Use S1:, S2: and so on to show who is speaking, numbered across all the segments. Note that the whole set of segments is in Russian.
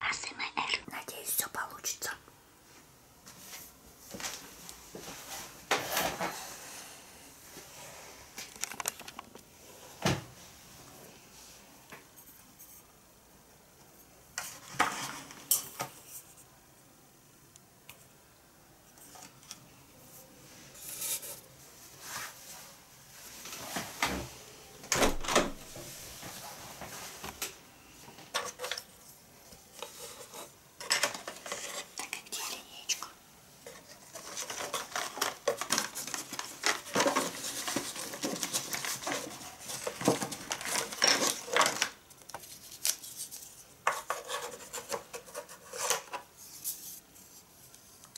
S1: АСМР. Надеюсь, все получится. Так, а где линейка?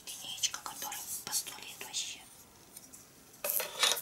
S1: Линеечка, которая по сто лет вообще.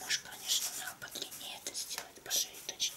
S1: Может, конечно, надо подлиннее это сделать, по шее точнее.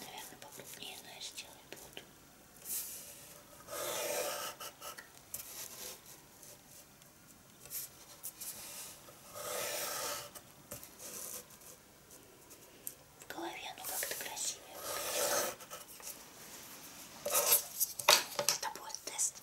S1: Наверное, покрупнее, но я сделаю буду. В голове оно ну, как-то красивее выглядит. Это будет тест.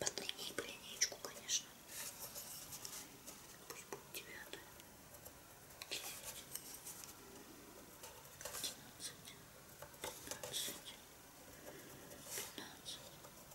S1: Подлиннее по линейку, конечно. Пусть будет девятая. Девять. Одиннадцать. Пятнадцать. Пятнадцать.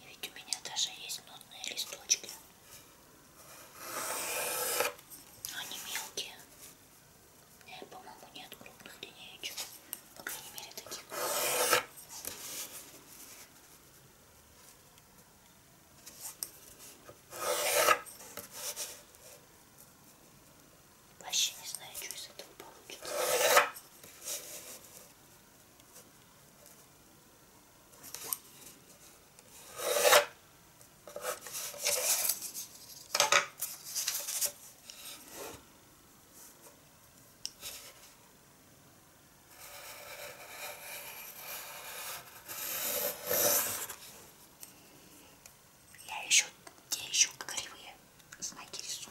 S1: И ведь у меня даже есть нотные листочки. Но они мелкие. По-моему, нет крупных линеечек. По крайней мере, таких. Вообще не знаю, что из этого получится. Я еще, где еще кривые знаки рисую.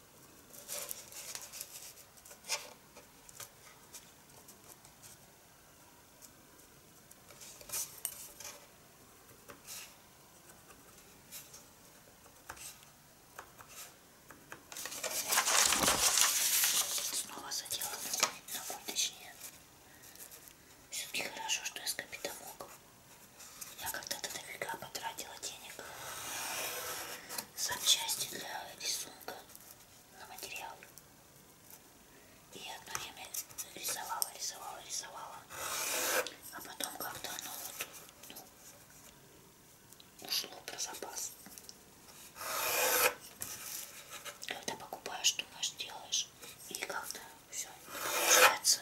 S1: Снова задела ногой, точнее. Все-таки хорошо, что я с капитомогом. Я когда-то дофига потратила денег запчасти для рисунка на материал. И одно время рисовала, рисовала, рисовала. А потом как-то оно вот, ну, ушло про запас. Когда покупаешь, думаешь, делаешь. И как-то все получается.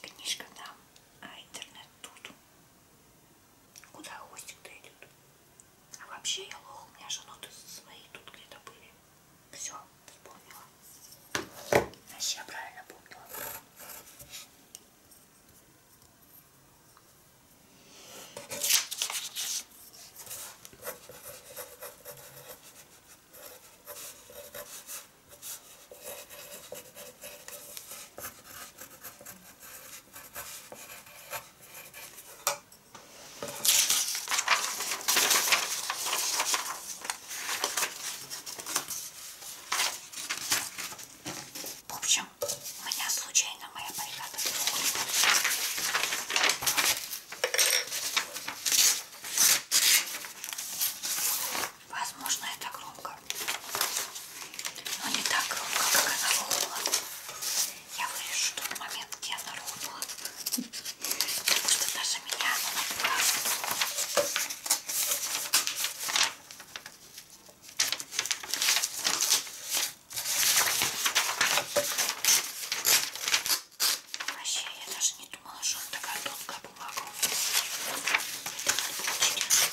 S1: Книжка там, а интернет тут. Куда хвостик-то идет? А вообще я лох, у меня же ноты свои тут где-то были. Все, вспомнила. Значит, я правильно помнила. В общем, у меня случайно моя бригада Возможно, это громко. Но не так громко, как она рухнула. Я вырежу тот момент, где она рухнула. Потому что даже меня она напраснула. Вообще, я даже не думала, что он такая тонкая бумага. Это надо получить.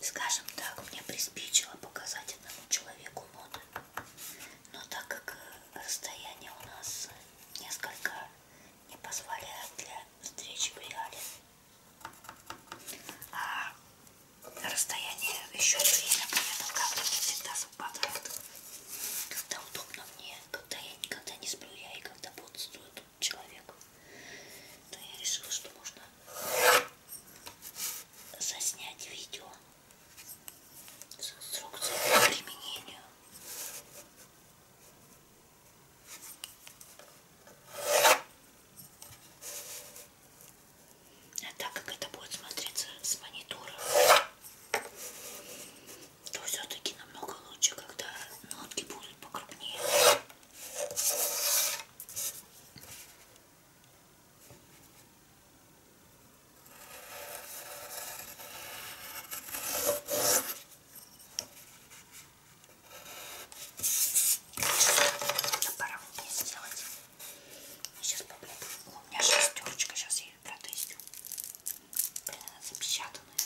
S1: Скажем так, мне приспичило показать одному человеку ноты. Но так как э, расстояние у нас э, несколько не позволяет для встречи в реале, а расстояние еще время, понятно, как-то всегда сразу богат. Когда удобно мне, когда я никогда не сплю, я и когда бодрствую человек, то я решила, что можно заснять видео с инструкцией по применению. А так как это будет смотреться с монитора, то все-таки намного лучше, когда нотки будут покрупнее. Да, пора мне сделать. Ну, сейчас попробую. У меня шестерочка, сейчас я такие, правда, еще блин, запечатанные.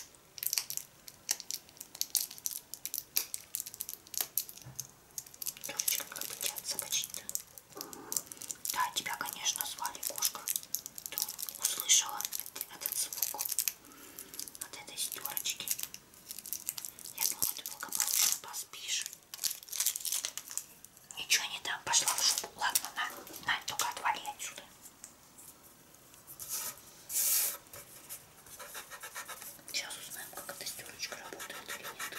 S1: Девочка, как бы от собачки-то. Да, тебя, конечно, звали кошка. Ты услышала этот звук от этой стерочки. Я думала, ты благополучно поспишь. Ничего не дам, пошла в шубу. Ладно, на, на, только отвали отсюда. Сейчас узнаем, как эта стерочка работает или нет.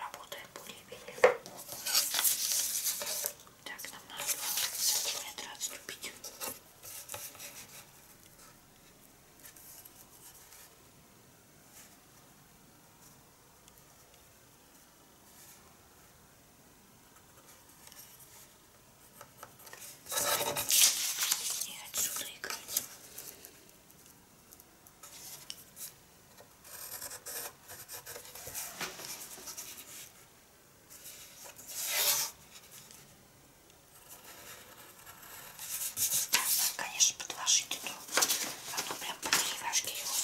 S1: Работает более-менее. Так, нам надо 2 сантиметра отступить. И отсюда играть. Да, надо, конечно, подложить эту. Оно а прям по деревяшке его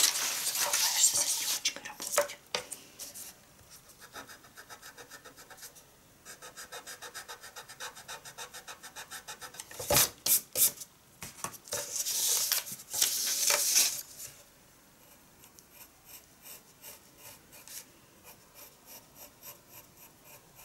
S1: забываешься со стеночкой работать. Ой,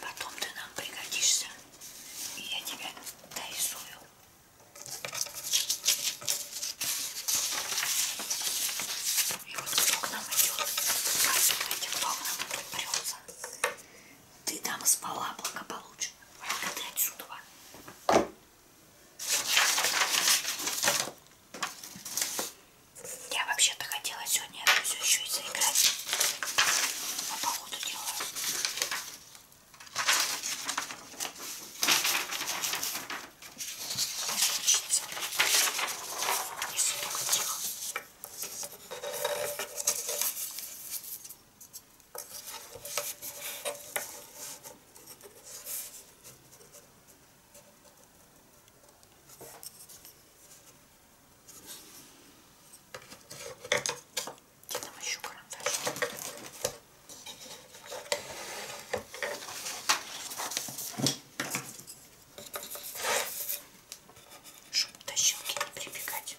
S1: Потом ты нам пригодишься, и я тебя дорисую. И вот кто к нам идет, каждый этим вогнам тут прется. Ты там спала благополучно. Выходи отсюда. Я вообще-то хотела сегодня это все еще и заиграть. Но походу делаю. Не случится. Если только тихо. Где там еще карандаш? Чтобы до щелки не прибегать.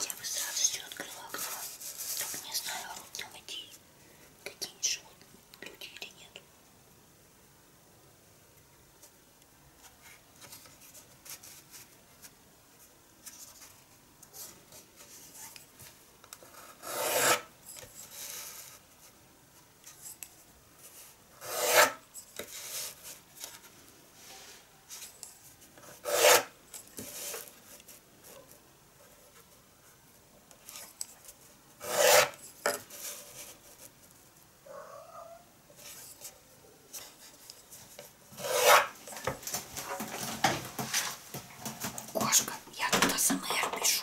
S1: Я бы с радостью открыла окно. Только не знаю, а там идти какие-нибудь животные, люди или нет кошка. Я туда сама я пишу.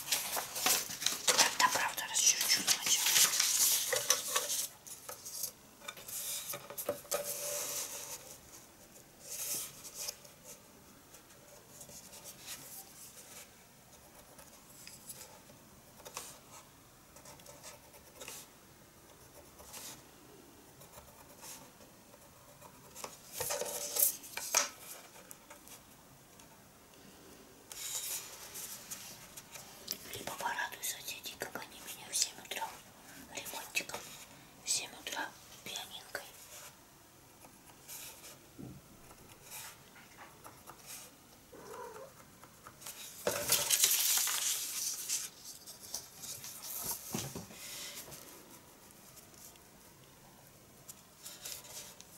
S1: Тогда правда расчерчу сначала. Либо порадуй соседей, как они меня в 7 утра ремонтиком, в 7 утра пианинкой.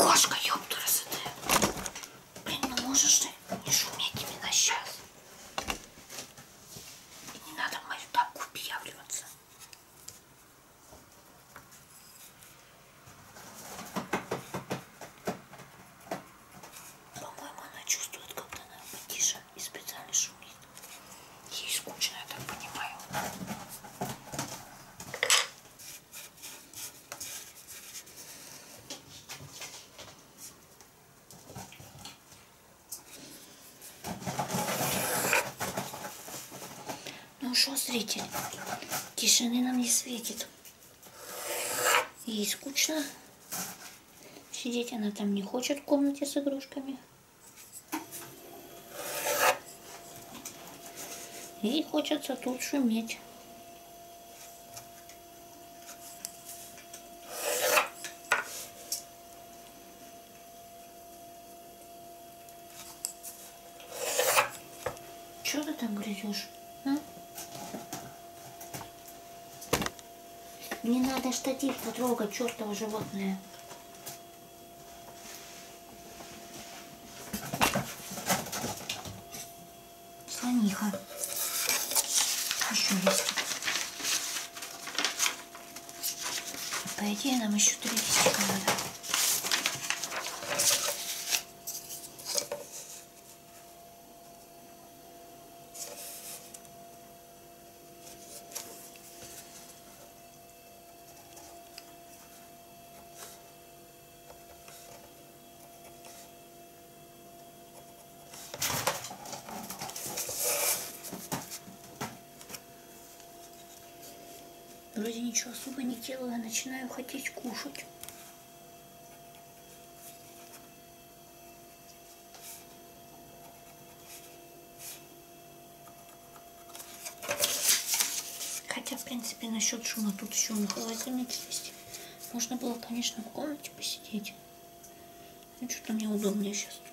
S1: Кошка, ёптура, ты. Блин, ну можешь ты не шуметь именно сейчас? Не надо мою тапку пьявляться. По-моему, она чувствует, когда она потише и специально шумит. Ей скучно, я так понимаю. Ну что, зритель, тишины нам не светит. Ей скучно. Сидеть она там не хочет в комнате с игрушками. И хочется тут шуметь. Что ты там грызешь? А? Не надо штатив потрогать, чертово животное. Слониха. Еще есть. По идее, нам еще три листика надо. Вроде ничего особо не делаю, начинаю хотеть кушать. Хотя, в принципе, насчет шума тут еще на холодильник есть. Можно было, конечно, в комнате посидеть. Ну, что-то мне удобнее сейчас тут.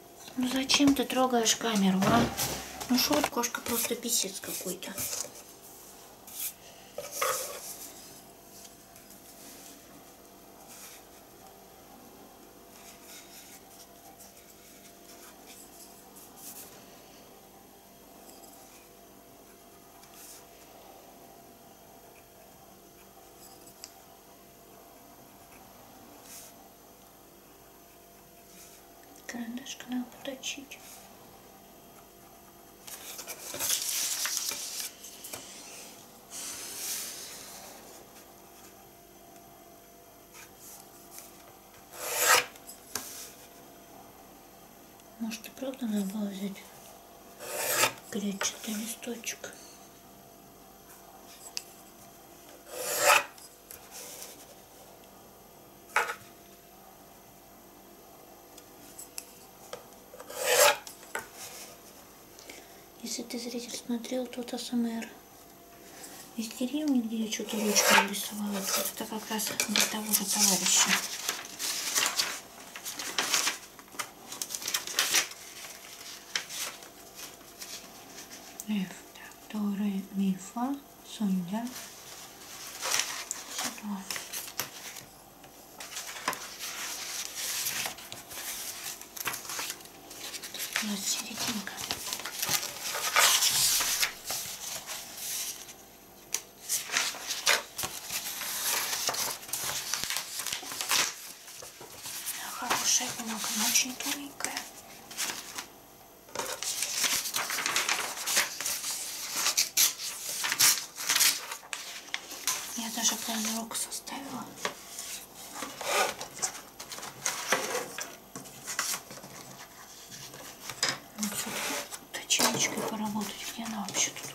S1: Ну зачем ты трогаешь камеру, а? Ну что, кошка просто писец какой-то. Карандашка надо поточить. Может и правда надо было взять клетчатый листочек. Если ты, зритель, смотрел тот АСМР из деревни, где я что-то ручку нарисовала, это как раз для того же товарища. Эф, так, Доре, Мифа sonra şurada biraz çevireyim. хорошая бумага, она очень тоненькая. Я даже полный уксус составила. Ну, Точечкой поработать, где она вообще тут?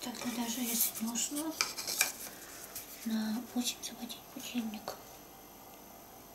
S1: тогда ну, даже если нужно на 8 заводить будильник.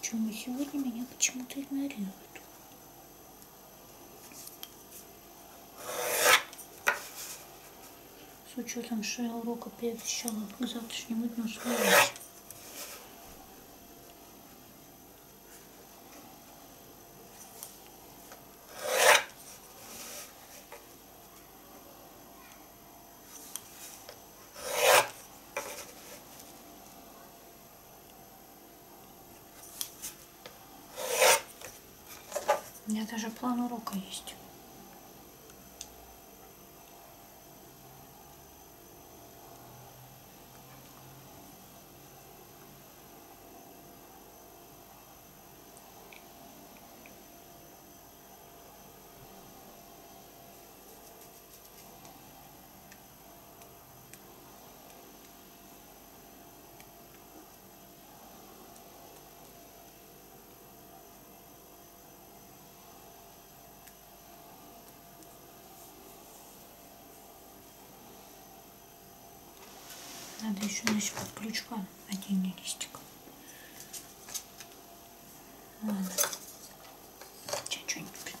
S1: Почему сегодня меня почему-то игнорируют? С учетом, что я урока приобещала к завтрашнему дню своему. У меня даже план урока есть. Надо еще значит, под ключку отдельный листик. Ладно. Сейчас что-нибудь придумаю.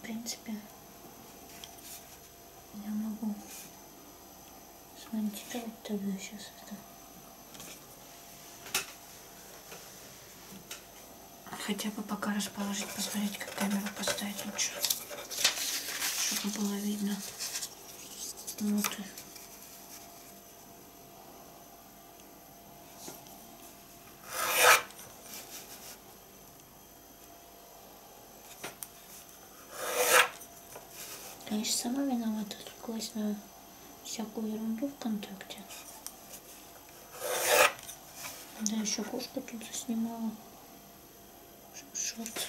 S1: В принципе, я могу смонтировать тогда сейчас это. Хотя бы пока расположить, посмотреть, как камеру поставить лучше. Ну Чтобы было видно внутрь. Конечно, сама виновата, отвлеклась на всякую ерунду ВКонтакте. Да, еще кошку тут заснимала. Шорт.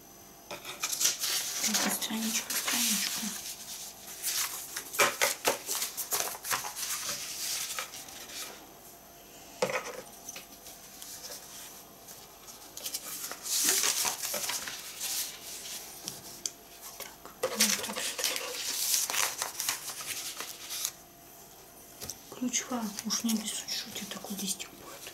S1: Так, страничку, страничку. Ключва, уж не обессудь, что у тебя такой листик будет.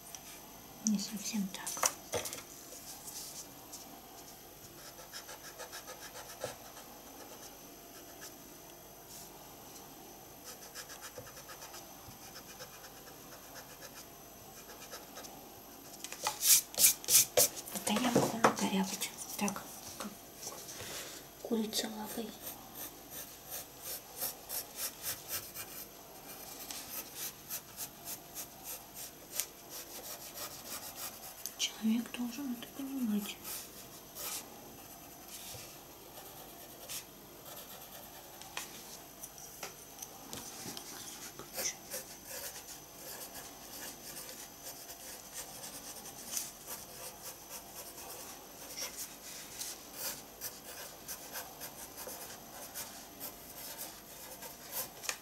S1: Не совсем так. Это я могу накорябать. Так, курица лавы. Человек должен это понимать.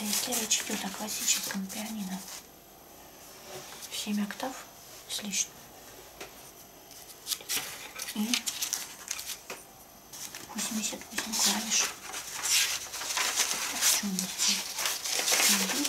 S1: Это если речь идет о классическом пианино. 7 октав с лишним. И 88 клавиш. Так, что у нас здесь? 11.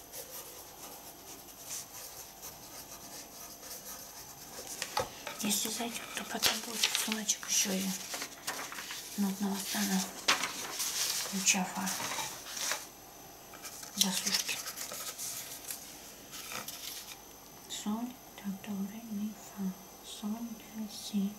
S1: Если зайдет, то потом будет сумочек еще и нудного стана ключа фар до сушки. Соль, который не фа. Соль для сито.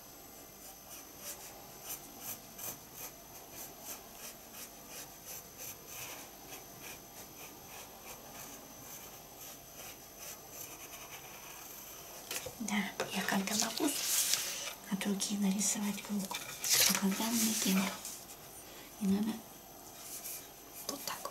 S1: Да, я когда могу от руки нарисовать круг, а когда мне кино. И надо вот так.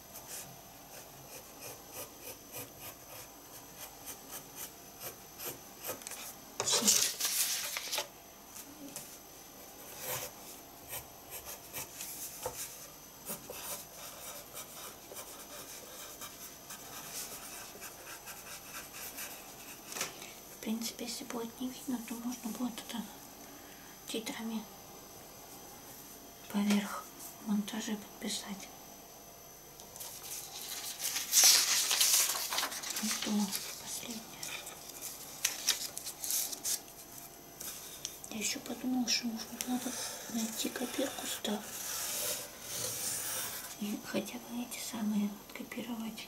S1: В принципе, если будет не видно, то можно будет это титрами поверх монтажа подписать. Ну что, последнее. Я еще подумала, что может быть надо найти копирку сюда. И хотя бы эти самые копировать.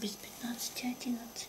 S1: без пятнадцати одиннадцать.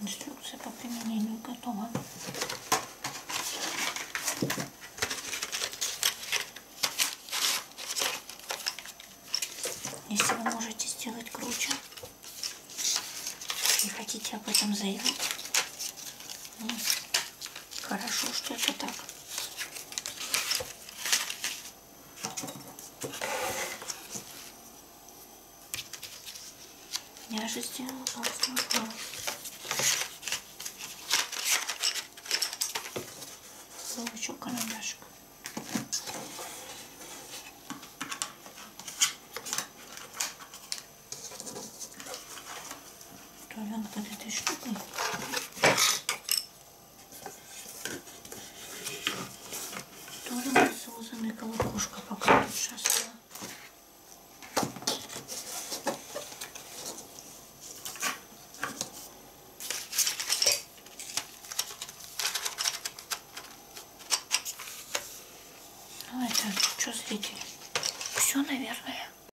S1: Инструкция ну по применению готова. Если вы можете сделать круче и хотите об этом заявить, ну, Хорошо, что это так. Я же сделала толстую палку. Получу карандашик. Ставим под этой штукой. Тоже насозанный колокушка пока тут сейчас. Ну это что зрители? Все, наверное.